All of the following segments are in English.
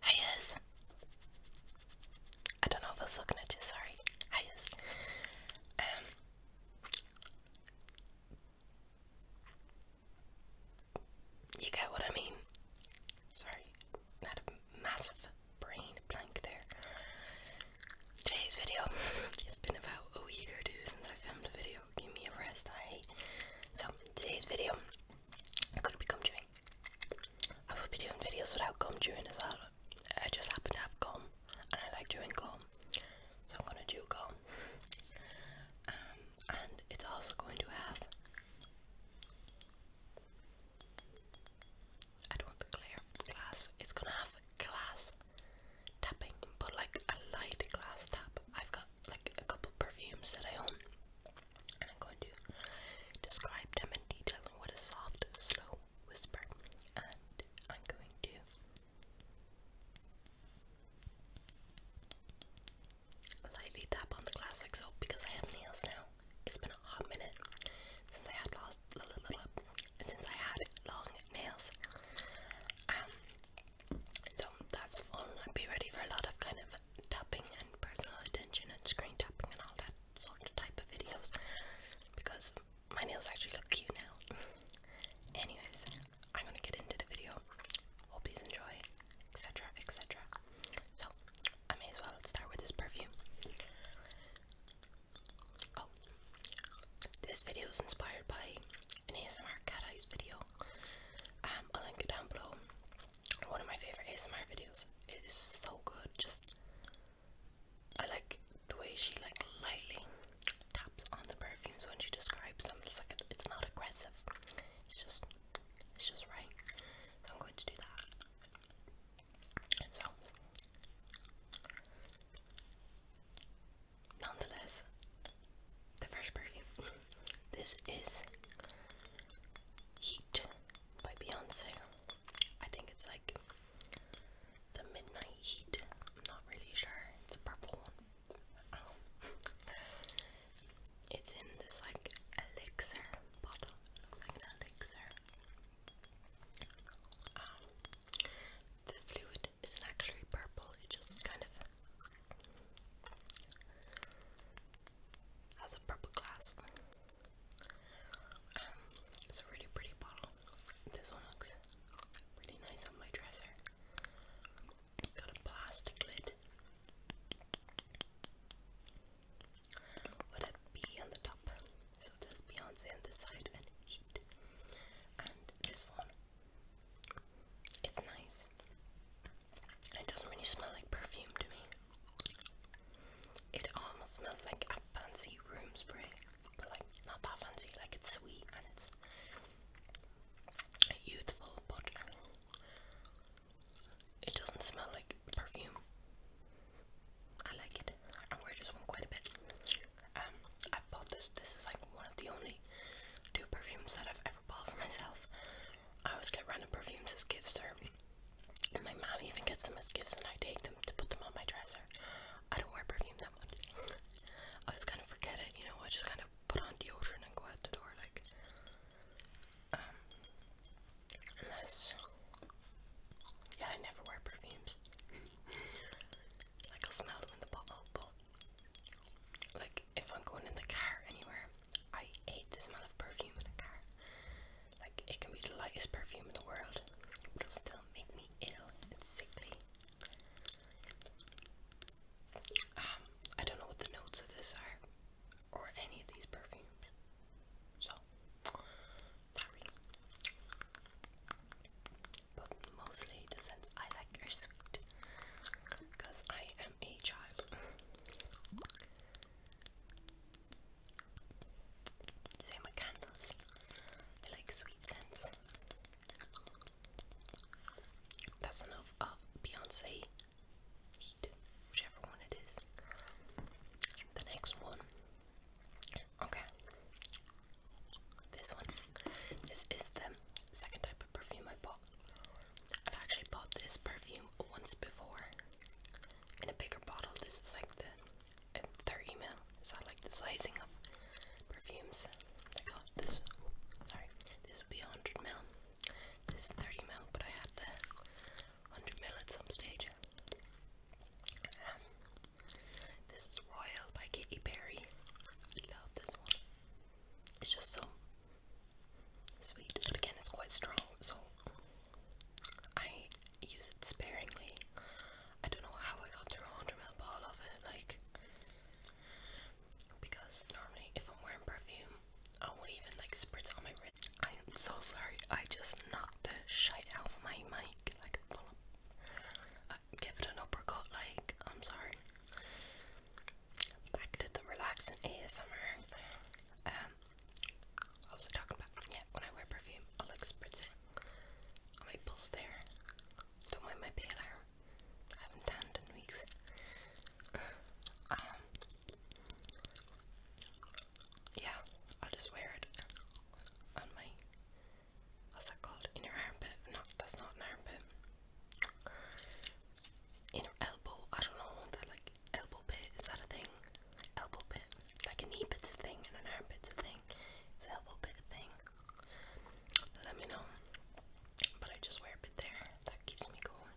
Highas. I don't know if I was looking at you, sorry. Highas. Um You get what I mean? Sorry, not a massive brain blank there. Today's video it's been about a week or two since I filmed a video. Give me a rest, alright? So today's video I'm gonna be coming I will be doing videos without gum chewing as well. I just happen to have gum and I like chewing gum. So I'm gonna chew gum. Um, and it's also going to have I don't want the clear glass. It's gonna have glass tapping, but like a light glass tap. I've got like a couple perfumes that I own and I'm going to describe them in detail with a soft, slow whisper, and I'm going to lightly tap on the glass like so because I have nails now. It's been a hot minute since I had lost since I had long nails. Um, so that's fun. i be ready for a lot of kind of tapping and personal attention and screen tapping and all that sort of type of videos because my nails actually look cute now. Anyways, I'm gonna get into the video. Hope you enjoy, etc. etc. So, I may as well start with this perfume. Oh, this video is inspired by an ASMR cat eyes video. Um, I'll link it down below one of my favorite ASMR videos. It is so good. Just I like the way she like lightly taps on the perfumes when she describes them. It's like it's not aggressive. It's just it's just right. I'm going to do that. So nonetheless, the first part. This is Heat by Beyonce. I think it's like the Midnight Heat. I'm not really sure. It's a purple one. Um, it's in this like elixir bottle. It looks like an elixir. Um, the fluid is actually purple, it just kind of has a purple glass. Um, it's a really pretty bottle. This one looks really nice on my dresser. It's got a plastic lid with a B on the top. So there's Beyonce on this side and Heat. And this one, it's nice. It doesn't really smell like perfume to me. It almost smells like a fancy room spray, but like not that fancy. Like it's sweet and it's youthful, but it doesn't smell like perfume. I like it. I wear this one quite a bit. Um, I bought this. This is like one of the only two perfumes that I've ever for myself. I always get random perfumes as gifts, or my mom even gets them as gifts, and I take them to put them on my dresser. I don't wear perfume that much. I just kind of forget it, you know. I just kind of put on deodorant and go out the door, like. Um, unless, yeah, I never wear perfumes. I'll smell them in the bottle, but like if I'm going in the car anywhere, I hate the smell of perfume in a car. Like it can be the lightest perfume in the world, it'll still make me ill and sickly. Um, I don't know what the notes of this are, or any of these perfumes. So But mostly the scents I like are sweet because I am a child. Same with candles. I like sweet scents. That's enough of Beyonce whichever one it is. The next one. Okay. This one. This is the second time perfume I bought. I've actually bought this perfume once before in a bigger bottle. This is like the 30 ml. Is that like the sizing of perfumes? I got this. Sorry, this would be 100 ml. This is 30 ml, but I had the 100 ml at some stage. this is Royal by Katy Perry. I love this one. It's just so sweet, but again, it's quite strong, so I use it sparingly. I don't know how I got through a 100 ml bottle of it, like, because normally if I'm wearing perfume, I won't even like spritz on my wrist. I am so sorry, I just knocked the shite out of my mic, like, full uh, give it an uppercut, like, I'm sorry back to the relaxing ASMR. Um, what was I talking about? Yeah, when I wear perfume, I'll like spritz on my pulse there. Don't mind my hair. I haven't tanned in weeks. Um, yeah, I'll just wear it on my. What's that called? In armpit? No, that's not armpit inner elbow. I don't know. That like elbow pit is that a thing? Elbow bit, like a knee bit's a thing and an arm bit's a thing. Is elbow pit a thing? Let me know. But I just wear a bit there. That keeps me going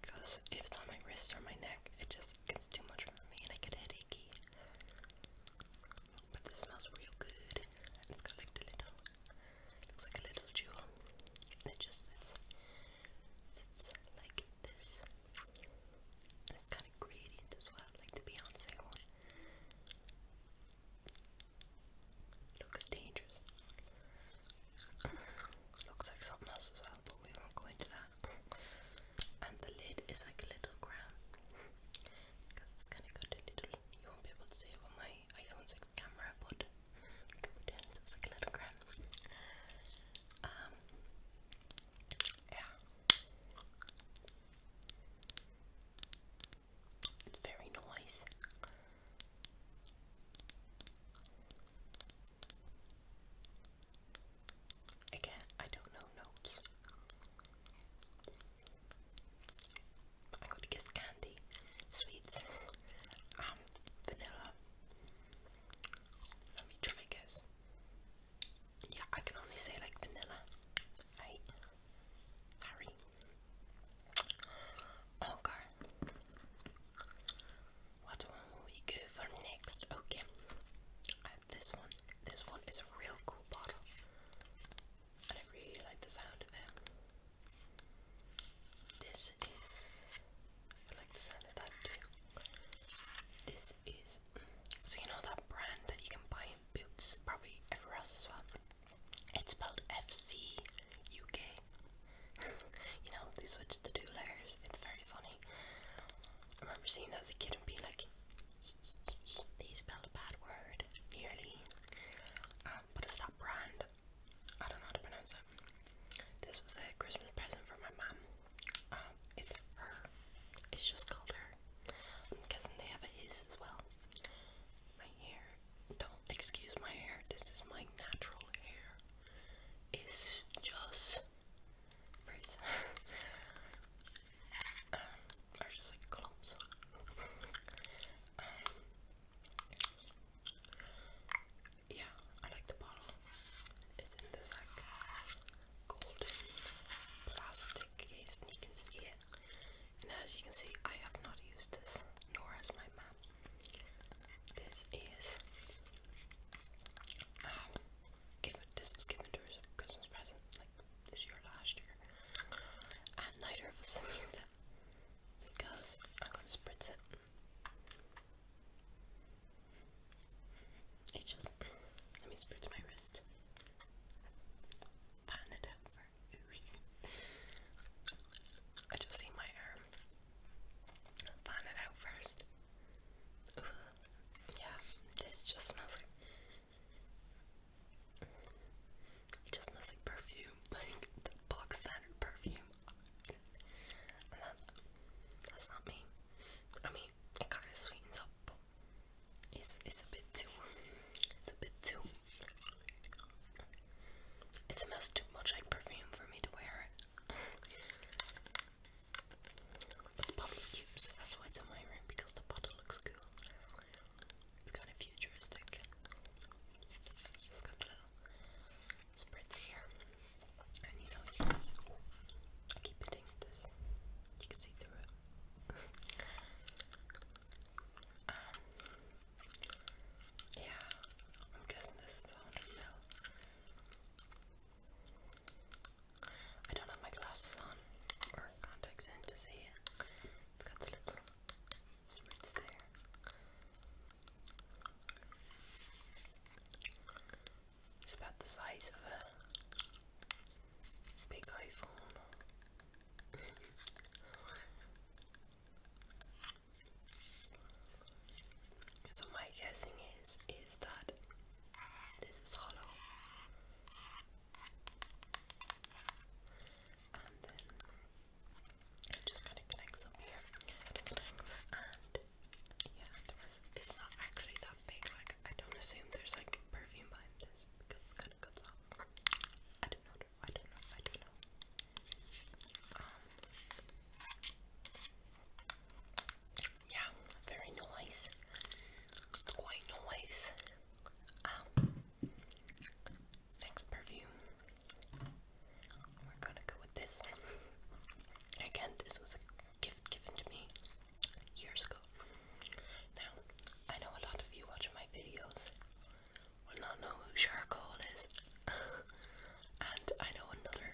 because if it's on my wrist or my neck, it just gets too much for me and I get head achy. But this smells real good. It's got like little Looks like a little jewel. And it just sits, sits like this. And it's kind of gradient as well, like the Beyonce one. Looks dangerous. Looks like something else as well, but we won't go into that. And the lid is like a little crown because it's kind of got a little, you won't be able to see it on my iPhone's like, camera, but pretend it's like a little gram. Um, yeah. It's very nice. Again, I don't know notes. I'm guess candy, sweets, um, vanilla. Let me try guess. Yeah, I can only say like vanilla. Right? Sorry. Okay. What one will we go for next? Okay. this one. This one is a real cool bottle. And I really like the sound of it. This is I like the sound of that too. This is so you know that brand that you can buy in Boots, probably everywhere else as well. It's spelled FC UK. you know, they switched the two letters. It's very funny. I remember seeing that as a kid and being like, they spelled a bad word yearly, um, but it's that brand. I don't know how to pronounce it. This was a Christmas present for my mom. Um, it's her. It's just called her. i they have his as well. My hair. Don't excuse my hair. This is my natural hair. It's just freeze. um, just like clumps. Um, yeah, I like the bottle. It's in this like golden plastic case, and you can see it. And as you can see, I have not used this, nor has my mom. This is. Um, this was given as a Christmas present, this year, last year, and neither of us needs it because I'm gonna spritz it. It just let me spritz my wrist. Pan it out for I just see my arm. Fan it out first. Yeah, this just smells like just smells perfume, like the box standard perfume. And that, that's not me. I mean, it kind of sweetens up, but it's, it's a bit too, it's a bit too, it smells too much like perfume for me to wear it. But the bottle's cute, that's why it's in my room because the bottle looks cool. It's kind of futuristic. It's just got the little spritz here. And you know, I keep hitting this. You can see through it. Um, yeah, I'm guessing this is 100 mil. I don't have my glasses on or contacts in to see it. It's got the little slits there. It's about the size of a big iPhone. so my guessing is is that this is hollow and then i just gonna connect some here. And yeah, it's not actually that big, like I don't assume there's like perfume behind this because it kinda cuts off. I don't know, I don't know, I don't know. Um, yeah, very nice. Quite nice. Um, next perfume, we're gonna go with this. Again, this was a gift given to me years ago. Now, I know a lot of you watching my videos will not know who Charcoal is, and I know another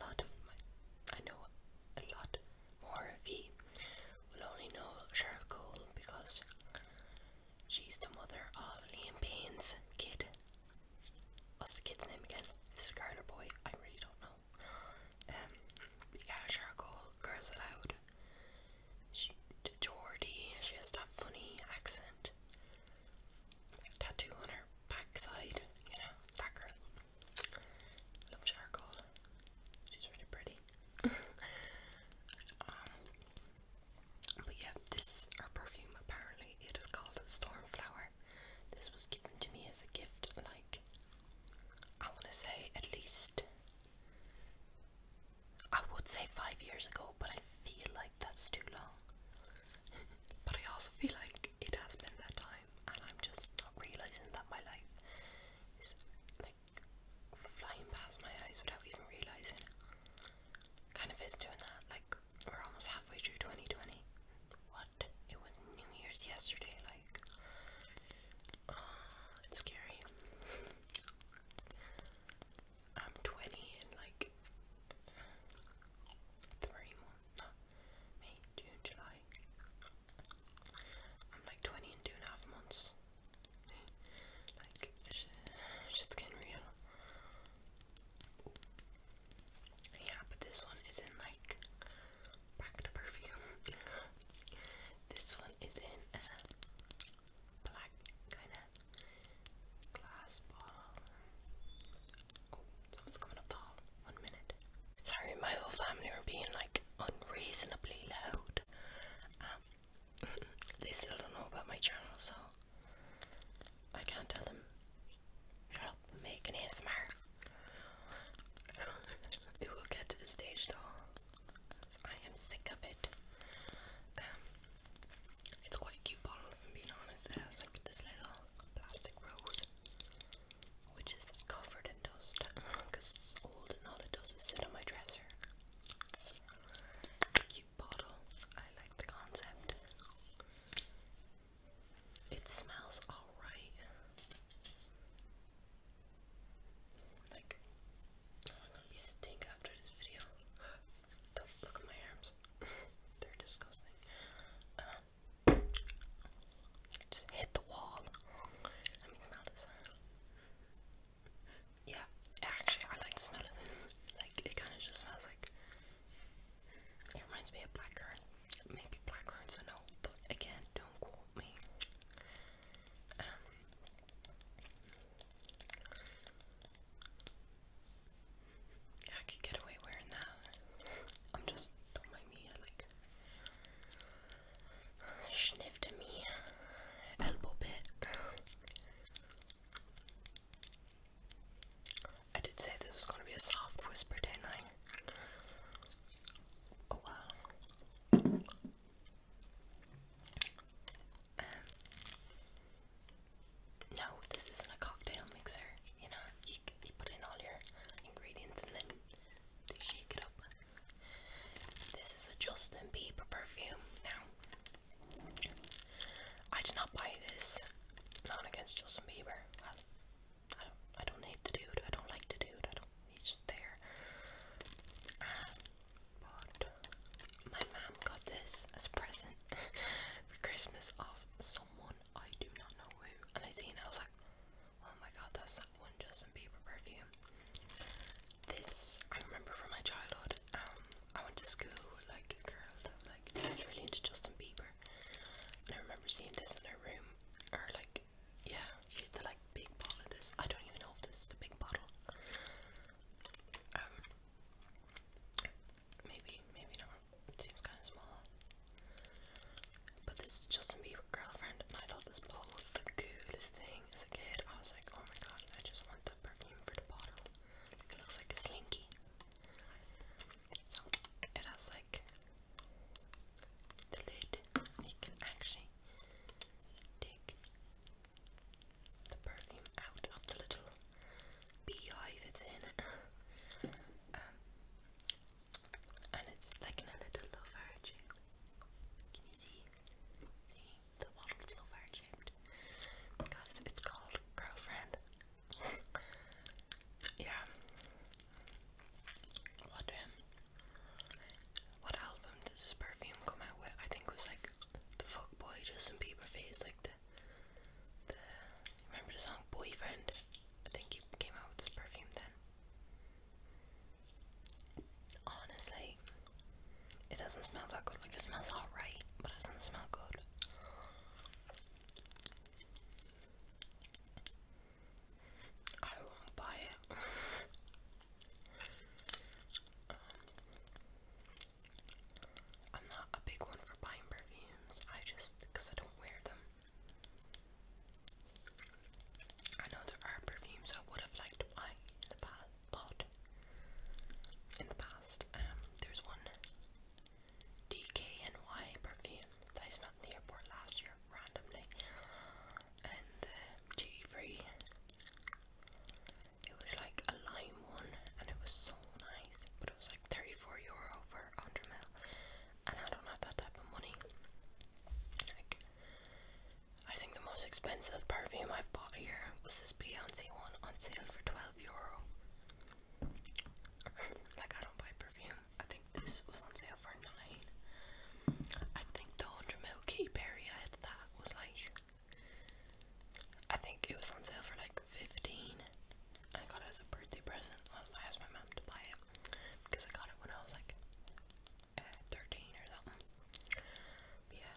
lot of my, I know a lot or Moriki will only know Cheryl Cole because she's the mother of Liam Payne's kid. What's the kid's name again? Mister Carter boy? I really don't know. Um, yeah, Cheryl Cole, Girls Aloud. She, Geordie, she has that funny accent. Tattoo on her backside, you know, that Love Cheryl Cole. She's really pretty. Um, but yeah, this is our perfume. Apparently, it is called Stormflower. This was given to me as a gift, like, I want to say at least, I would say five years ago, but I feel like that's too long. but I also feel like it has been that time, and I'm just not realizing that my life is like flying past my eyes without even realizing. Kind of is doing that. Like we're almost halfway through 2020. What? It was New Year's yesterday. Like, oh, it's scary. I'm 20 in like three months. No, June, July. I'm like 20 in two and a half months. like, shit's getting real. Yeah, but this one is in like, back perfume. this one is in a black kind of glass bottle. Oh, someone's coming up the hall. One minute. Sorry, my whole family are being like unreasonably loud. Um, they still don't know about my channel, so I can't tell them. Shut up, make an ASMR. it will get to the stage though. I am sick of it. Um, it's quite cute bottle, if I'm being honest. It has like this little plastic rose which is covered in dust because it's old and all it does is sit on my dresser. cute bottle. I like the concept. It smells alright. Like, I'm gonna be stink after this video. look, look at my arms. They're disgusting. Uh, just hit the wall. That makes mad sound. Yeah, actually, I like the smell of this. Like, it kind of just smells like. It reminds me of blackcurrant. Maybe blackcurrant's a no, again, don't quote me. Um, I could get away wearing that. I'm just don't mind me. I like sniffed me a bit. I did say this was gonna be a soft whisper, didn't I? Oh wow. no, this isn't a cocktail mixer. You know, you, put in all your ingredients and then they shake it up. This is a Justin Bieber perfume. Now, I did not buy this. Not against Justin Bieber. I, I don't. I don't hate the dude. I don't like the dude. I don't. He's just there. but my mom got this as a present for Christmas off someone I do not know who, and I seen. I was like, Oh my god, that's that one Justin Bieber perfume. This I remember from my childhood. Um, I went to school with like a girl that like was really into Justin Bieber, and I remember seeing this in her room, or like, yeah, she had the like big bottle of this. I don't even know if this is the big bottle. Um, maybe, maybe not. It seems kind of small. But this Justin Bieber girlfriend, and I thought this bottle was the coolest thing as a kid. I was like, oh my god, I just want the perfume for the bottle. It looks like a slinky. So it has like the lid, and you can actually take the perfume out of the little beehive it's in. um, and it's like in a little lover shape. Can you see? See the bottle's lover shaped because it's called girlfriend. yeah. What um, what album did this perfume come out with? I think it was like the folk boy Justin Bieber phase, like the the remember the song Boyfriend? I think he came out with this perfume then. Honestly, it doesn't smell that good. Like, it smells alright, but it doesn't smell good. I won't buy it. Um, I'm not a big one for buying perfumes. I just, because I don't wear them. I know there are perfumes I would have liked to buy in the past, but in the past, um, there's one DKNY perfume that I smelled in the airport last year randomly, and the uh, um, duty It was like a lime one, and it was so nice, but it was like 34 euro for 100 ml and I don't have that type of money. Like, I think the most expensive perfume I've bought here was this Beyonce one on sale for 12 euro. like, I don't buy perfume. I think this was on sale for 9. I think the 100ml Key Berry that was like, I think it was on sale for like 15. I got it as a birthday present. I asked my mom to buy it because I got it when I was like 13 or something. yeah,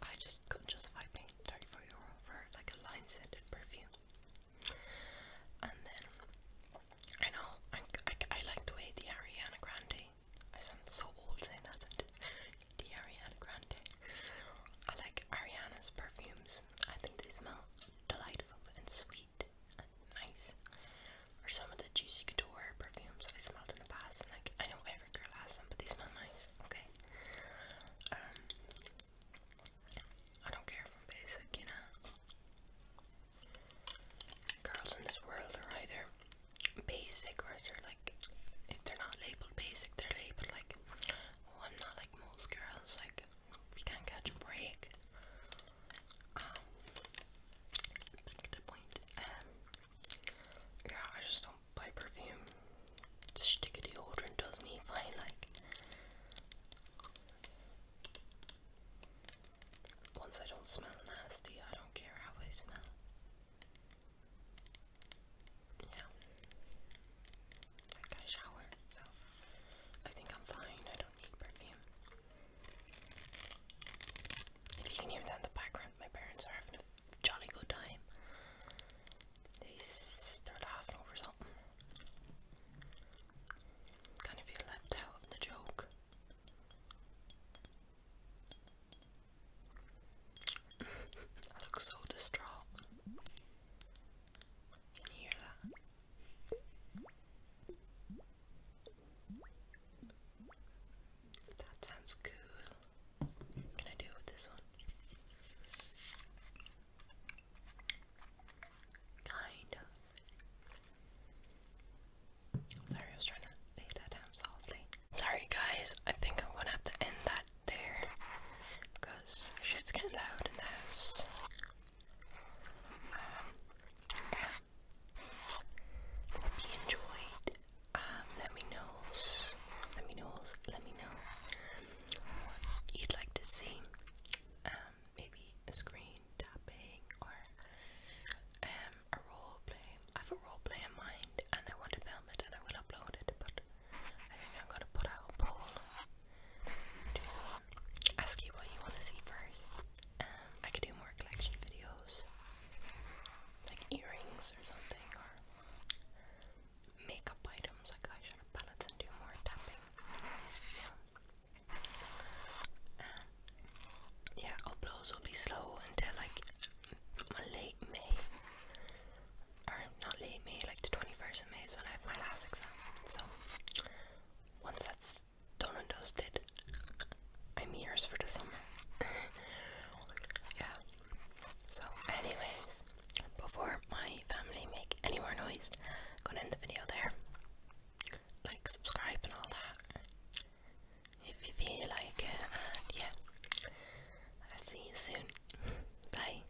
I just couldn't justify paying 34 euro for like a lime scented perfume. And then I know I, I, like the way the Ariana Grande. I sound so old saying that. The Ariana Grande. I like Ariana's perfumes. I think they smell delightful and sweet and nice are some of the Juicy Couture perfumes I smelled in the past. And like, I know every girl has them, but they smell nice. Okay. Um, I don't care if I'm basic, you know. Girls in this world are either basic or they're like, if they're not labeled basic, they're labeled like, oh, I'm not like most girls. Like, we can't catch a break. Um, back to point. Um, yeah, I just don't buy perfume. The stick deodorant does me fine, like. Once I don't smell nasty, I don't care how I smell. Yeah. I shower, so I think I'm fine. I don't need perfume. If you can hear that the background, my parents are having a jolly good time. They start laughing over something. Kind of feel left out of the joke. I look so distraught. Can you hear that? That sounds cool. Can I do with this one? Kind of. sorry, I was trying to lay that down softly. Sorry guys, I think I'm gonna have to end that there because shit's getting loud in the um, hope you enjoyed. Um, let me know. Let me know. Let me know what you'd like to see. Um, maybe a screen tapping or um, a role play. I have a role play in mind, and I want to film it, and I will upload it, but. I think I'm gonna put out a poll to ask you what you want to see first. Um, I could do more collection videos, like earrings or something, or makeup items like eyeshadow palettes, and do more tapping yeah, uploads will be slow until like late May or not late me like the 21st of May is when I have my last exam. So once that's done and dusted, I'm yours for the summer. yeah. So, anyways, before my family make any more noise, gonna end the video there. Like, subscribe, and all that if you feel like it. yeah, I'll see you soon. Bye.